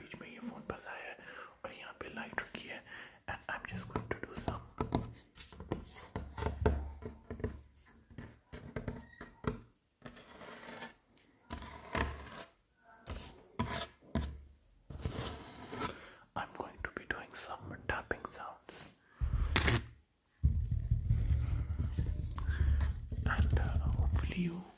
बीच में ये फ़ोन फंसा है और यहाँ I'm going to be doing some tapping sounds and uh, hopefully you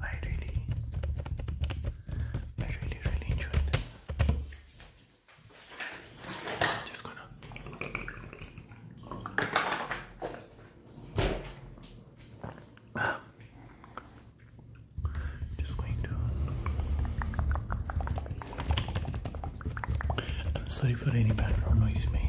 I really, I really, really enjoyed Just gonna. just going to. I'm sorry for any background noise, may.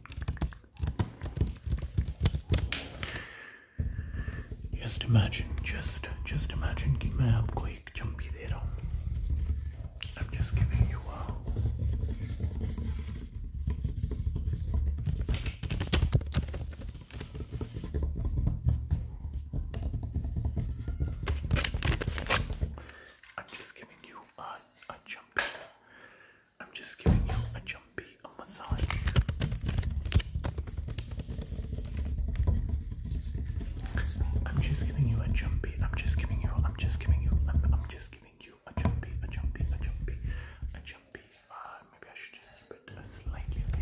Just imagine, just just imagine I'm just giving you a I'm just giving you a a jumpy. I'm just giving you a jumpy a massage. I'm just giving you a jumpy. I'm just giving you. I'm just giving you. I'm, just giving you a jumpy, a jumpy, a jumpy, a jumpy. Uh, maybe I should just keep it slightly. Away.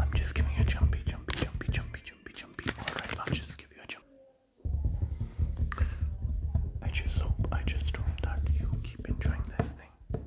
I'm just giving you a jumpy, jumpy, jumpy, jumpy, jumpy, jumpy. Alright, I'll just give you a jump. I just hope, I just hope that you keep enjoying this thing.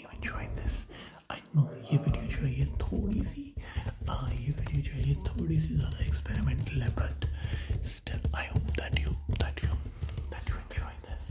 Hopefully you enjoyed this I know ये video जो है ये थोड़ी सी आ, ये video जो है ये थोड़ी सी ज़्यादा एक्सपेरिमेंटल है but still I hope that you that you that you enjoy this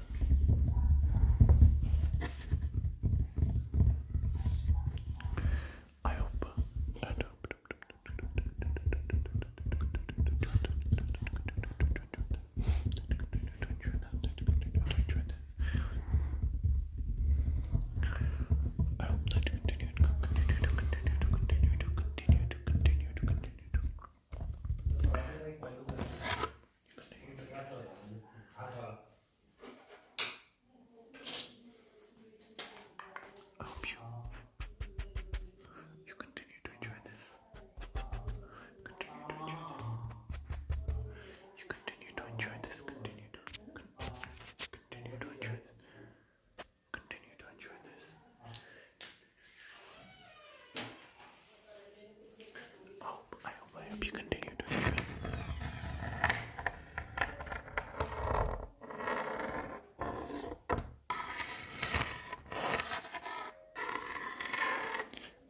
I hope. I hope. that you continue to continue to continue to continue to continue to continue to I hope you you continue to enjoy this. Continue to enjoy this. You continue to enjoy this. Continue to continue to enjoy Continue to enjoy this. I hope, you continue doing good.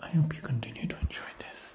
I hope you continue to enjoy this.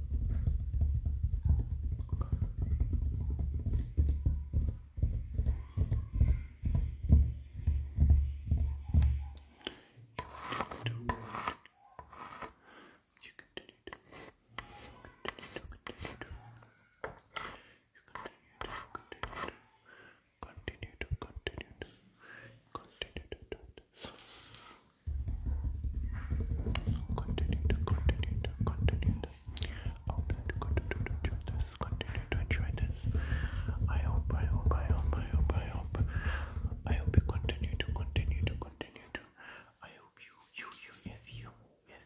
Continue to continue to continue to do this. Continue to continue to continue to. I hope you continue to enjoy this. Continue to enjoy this. I hope, I hope, I hope, I hope, I hope. I hope you continue to continue to continue to. I hope you, you, you, yes, you, yes,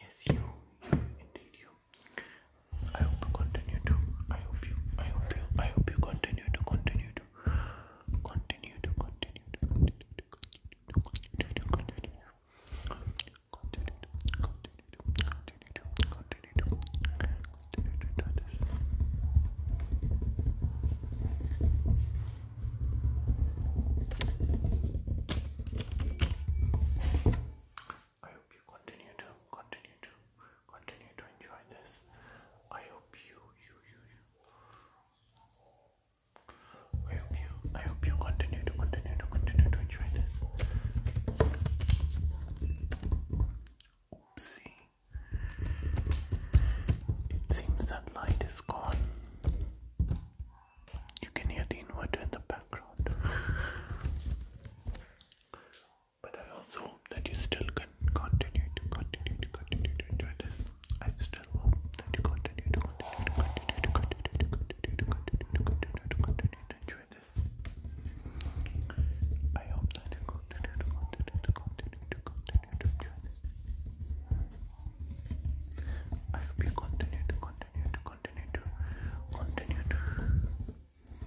yes, you, you, indeed you. I hope you continue to. I hope you, I hope you, I hope you continue to continue to to continue to continue to continue to continue to continue to continue to continue to continue to continue to continue to do this. I hope you continue to continue to continue to enjoy this. I hope you you you you I hope you, I hope you continue to continue to continue to enjoy this. Oopsie. It seems that light is gone. You can hear the inverter in the background. But I also hope that you still can continue to continue to continue to enjoy this. I still hope that you continue to continue to continue to continue to continue to continue to continue to continue to enjoy this. I hope that you continue to continue to continue to continue to enjoy this. I hope you continue to continue to continue to continue to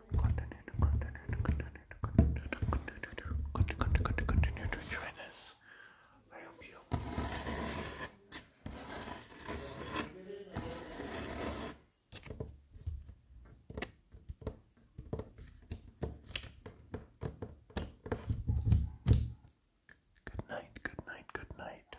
continue to continue to continue to continue continue continue continue to enjoy this. I hope you Good night, good night, good night.